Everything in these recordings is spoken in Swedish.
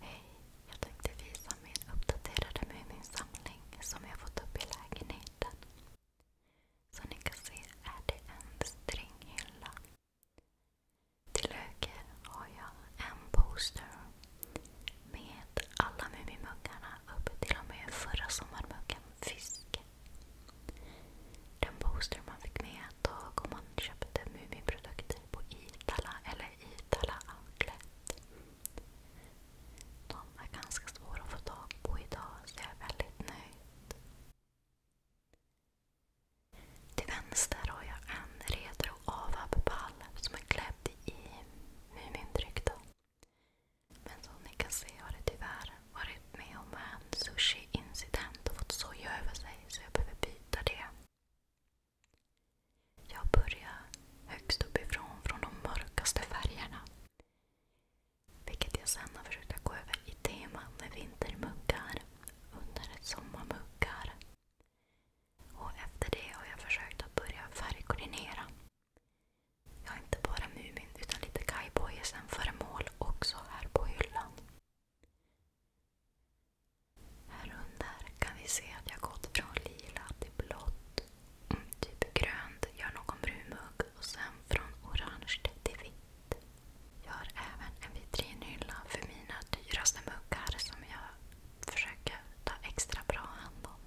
Hej! Jag tänkte visa min uppdaterade Muminsamling som jag fått upp i lägenheten. Som ni kan se är det en stringhylla. Till höger har jag en poster med alla Mumimuggarna upp till och med förra sommarmuggen Fisk. Den poster man fick med då tag om man köpte Mumiprodukter på Iitala eller i Vitala Outlet. De är ganska svåra att få tag på idag så jag är väldigt nöjd. Till vänster har jag en Redro Avab-pall som är klädd i Mumindryck. Men som ni kan se har det tyvärr varit med om en sushi-incident och fått soja över sig så jag behöver byta det. Jag börjar högst uppifrån från de mörkaste färgerna. Vilket jag sen har försökt att gå över i teman med vintermuggar, under sommarmuggar. Och efter det har jag försökt att börja färgkoordinera. Jag har inte bara Mumin utan lite Kaiboyesen föremål också här på hyllan. Här under kan vi se att jag gått från lila till blått. Mm, typ grönt gör någon brunmugg och sen från orange till vitt. Jag har även en vitrinhylla för mina dyraste muggar som jag försöker ta extra bra hand om.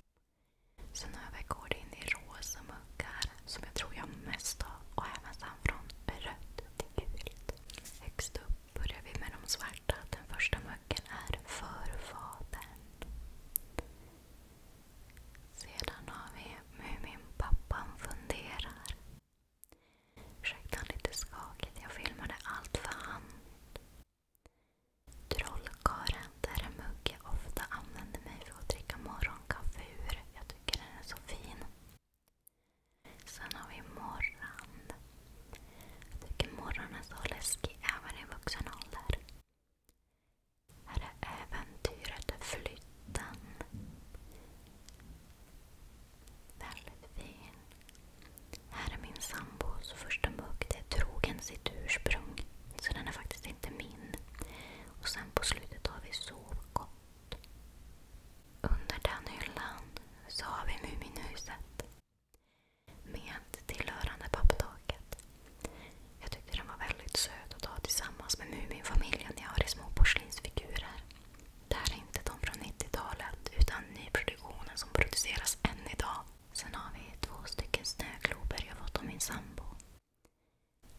Sen över går det in i rosa muggar som jag tror jag mest har och även sen från rött till gult. Högst upp börjar vi med de svarta. Den första macken är Förfadern. Sedan har vi Muminpappan funderar. Ursäkta lite skakigt, jag filmade allt för hand. Trollkaren, där en mugge ofta använder mig för att dricka morgonkaffe ur. Jag tycker den är så fin. Sen har vi Morran. Jag tycker Morran är så läskig även i vuxen ålder. Här är äventyret Flytten. Väldigt fin. Här är min sambos första mugg. Det är trogen sitt ursprung. Så den är faktiskt inte min. Och sen på slutet har vi sovkopp. Under den hyllan så har vi Muminhuset med tillhörande papptaket. Jag tyckte den var väldigt söt att ha tillsammans med Muminfamiljen jag har i små porslinsfigurer. Det här är inte de från 90-talet utan nyproduktionen som produceras än idag. Sen har vi två stycken snöglober jag fått av min sambo.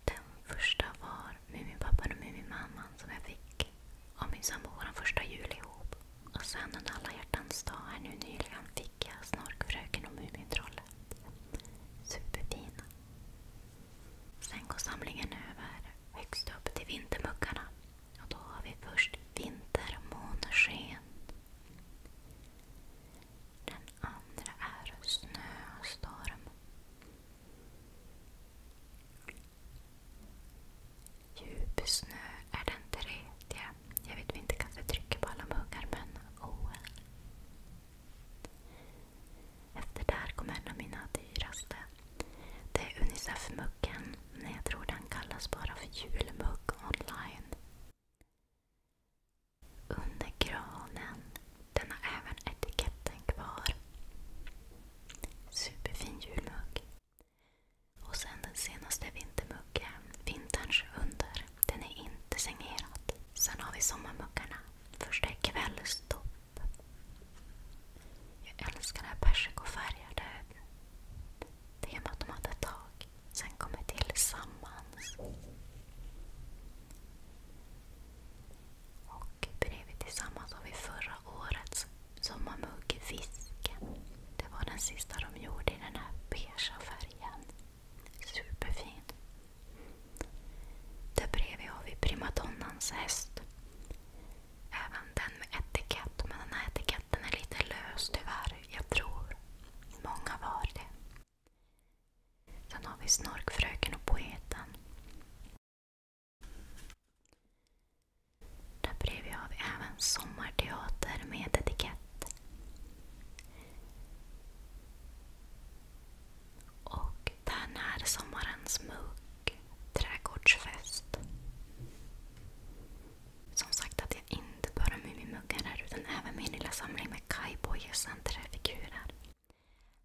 Den första var Muminpappan och Muminmamman som jag fick av min sambo vår första jul ihop. Och sen under alla hjärtans dag här nu nyligen fick jag Snorkfröken och Mumintrollet. Superfina. Sen går samlingen över högst upp till vintermuckarna. Och då har vi först vintermånsken. Den andra är snöstorm. Djup snö är den tredje. Jag vet vi inte kanske trycker på alla muggar, men oh well. Efter där kom en av mina dyraste. Det är Unicef-muggen. Nej, jag tror den kallas bara för julmugg online. Under granen. Den har även etiketten kvar. Superfin julmugg. Och sen den senaste vintermuggen, vinterns under. Den är inte signerad. Sen har vi sommarmuggarna. Första är kvällstopp. Jag älskar det här persikofärgade temat de hade ett tag. Sen kommer Tillsammans. Och bredvid Tillsammans har vi förra årets som man hugger fisken. Det var den sista de gjorde i den här beigea färgen. Superfin. Där bredvid har vi primadonnans häst. Även den med etikett. Men den här etiketten är lite lös tyvärr. Jag tror många var det. Sen har vi Snorkfröken och Poeten. Där bredvid har vi även sommarteater med etikett. Och där när sommarens mugg, trädgårdsfest. Som sagt att jag inte bara Mumimuggar här utan även min lilla samling med kajbojor och träfigurer.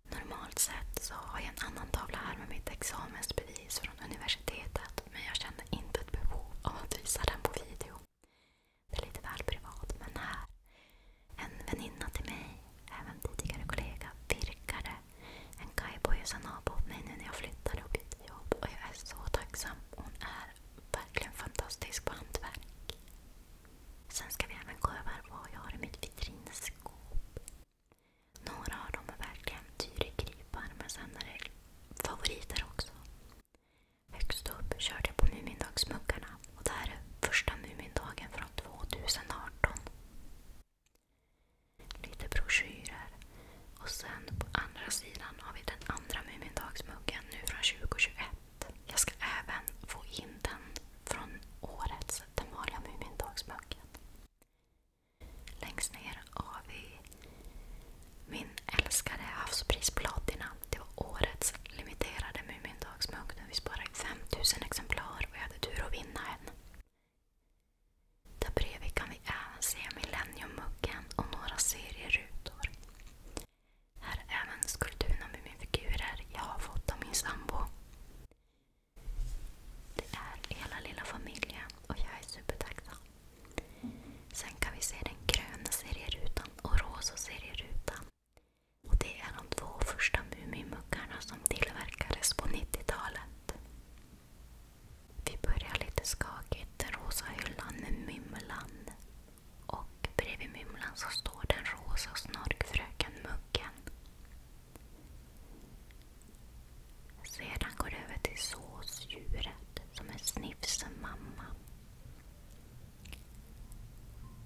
Normalt sett så har jag en annan tavla här med mitt examensbevis från universitetet men jag kände inte ett behov av att visa den på video. Det är lite väl privat, men här. En väninna till mig, även tidigare kollega, virkade en kajboja åt mig nu när jag flyttade och bytte jobb. Och jag är så tacksam. Hon är verkligen fantastisk på hantverk. Sen ska vi även gå över vad jag har i mitt vitrinskåp. Några av dem är verkligen dyrgripar men sen är det favoriter också. Högst upp körde jag på Mumindagsmuggarna och det här är första Mumindagen från 2018. Lite broschyrer. Och sen på andra sidan har vi den andra Mumindagsmuggen nu från 2021. Jag ska även få in den från årets Den vanliga Mumindagsmuggen. Längst ner har vi min älskade havspris Platina. Det var årets limiterade Mumindagsmugg. Vi sparade 5000 exemplar och jag hade tur att vinna en. Där bredvid kan vi även se Millenniummuggen och några serierutor. Här är även skulpturerna med mina figurer jag har fått av min sambo. Det är hela lilla familjen och jag är supertacksam. Sen kan vi se den gröna serierutan och rosa serierutan. Och det är de två första Mumimuggarna som tillverkades på 90-talet. Vi börjar lite skakigt. Den rosa hyllan med Mymlan. Och bredvid Mymlan så står den rosa snorkfröken Muggen. Sedan går det över till såsdjuret som är Snifsen mamma.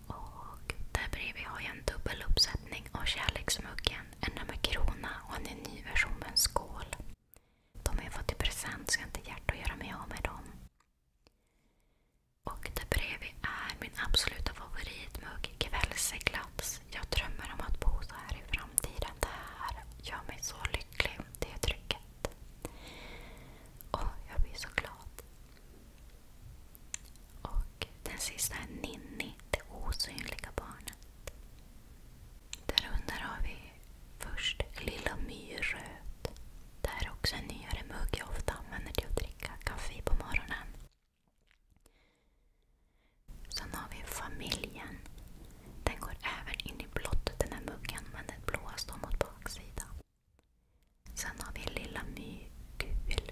Och där bredvid har jag en dubbel uppsättning av kärleksmuggen. En med krona och en ny version med en skål. De jag fått i present så inte hjärta göra mig av med Och där bredvid är min absoluta favoritmugg kvällseglapp hoppas, jag drömmer om att bo så här i framtiden. Det här gör mig så lycklig. Det är trycket. Och jag blir så glad. Och den sista är Ninni, det osynliga barnet. Därunder har vi först Lilla Myrröt. Det här är också en nyare mugg jag ofta använder till att dricka kaffe på morgonen. Sen har vi familjen. Den går även in i blått den här muggen, men den blåa står mot baksidan. Sen har vi Lilla My gul.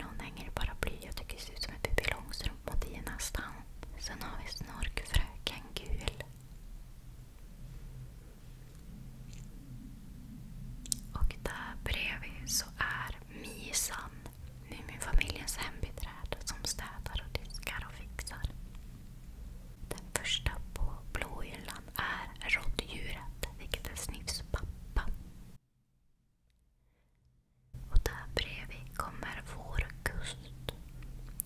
Någon hänger i bly. Jag tycker det ser ut som en Pippi Långstrump mot i nästan. Sen har vi Snorkfröken gul. Och där bredvid så är Misan, Muminfamiljens hembiträde som städar och diskar och fixar. Den första på blåhyllan är råttdjuret, vilket är Sniffs pappa. Och där bredvid kommer vårkust.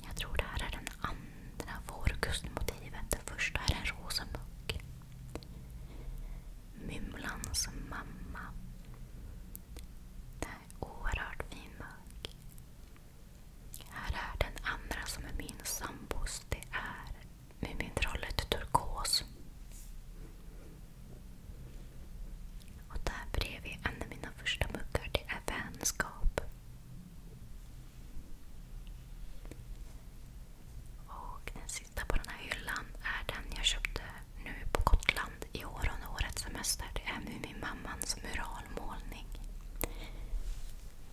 Jag tror det här är den andra vårkustmotivet. Det första är en rosa muck. Mumlans mamma. Det är oerhört fin mugg. Här är den andra som är min sambos. Det är Mumintrollet turkos. Och där bredvid en av mina första muggar, det är vänskap. Och den sista på den här hyllan är den jag köpte nu på Gotland i år under årets semester. Det är min mammans muralmålning.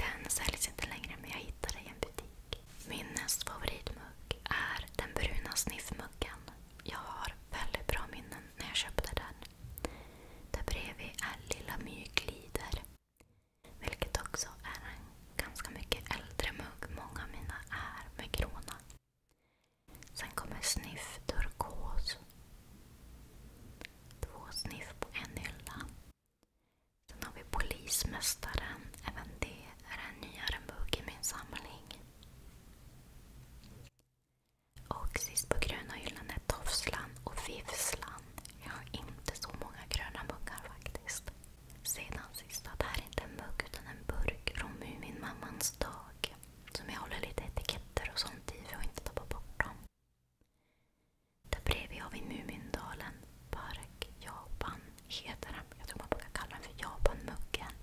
Den säljs inte längre men jag hittade i en butik. Min näst favoritmugg är den bruna sniffmuggen. Jag har väldigt bra minnen när jag köpte den. Där bredvid är Lilla My glider. Vilket också är en ganska mycket äldre mugg. Många av mina är med gråna. Sen kommer sniff turkos. Två sniff på en hylla. Sen har vi Polismästaren. Även det är en nyare mugg i min samling. Och sist på gröna hyllan är Tofslan och Vivslan. Jag har inte så många gröna muggar faktiskt. Sedan sista, det här är inte en mugg utan en burk från min dag. Som jag håller lite etiketter och sånt i för att inte tappa bort dem. Där bredvid har vi Mumindalen Park Japan heter den. Jag tror man brukar kalla den för Japanmuggen.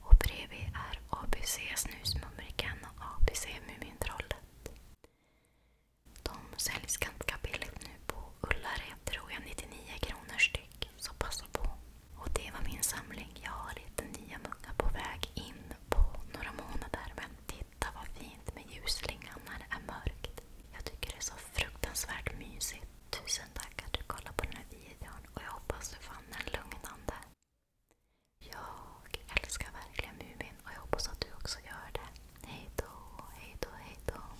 Och bredvid är ABC Snusmumriken och ABC Mumintrollet. De säljs ganska billigt nu på ullare tror jag 99 kronor styck. Så passa på. Och det var min samling. Jag har lite nya muggar på väg in på några månader. Men titta vad fint med ljusslingan när det är mörkt. Jag tycker det är så fruktansvärt mysigt. Tusen tack att du kollade på den här videon och jag hoppas du fann den lugnande. Jag älskar verkligen Mumin och jag hoppas att du också gör det. Hej då, hej då, hej då.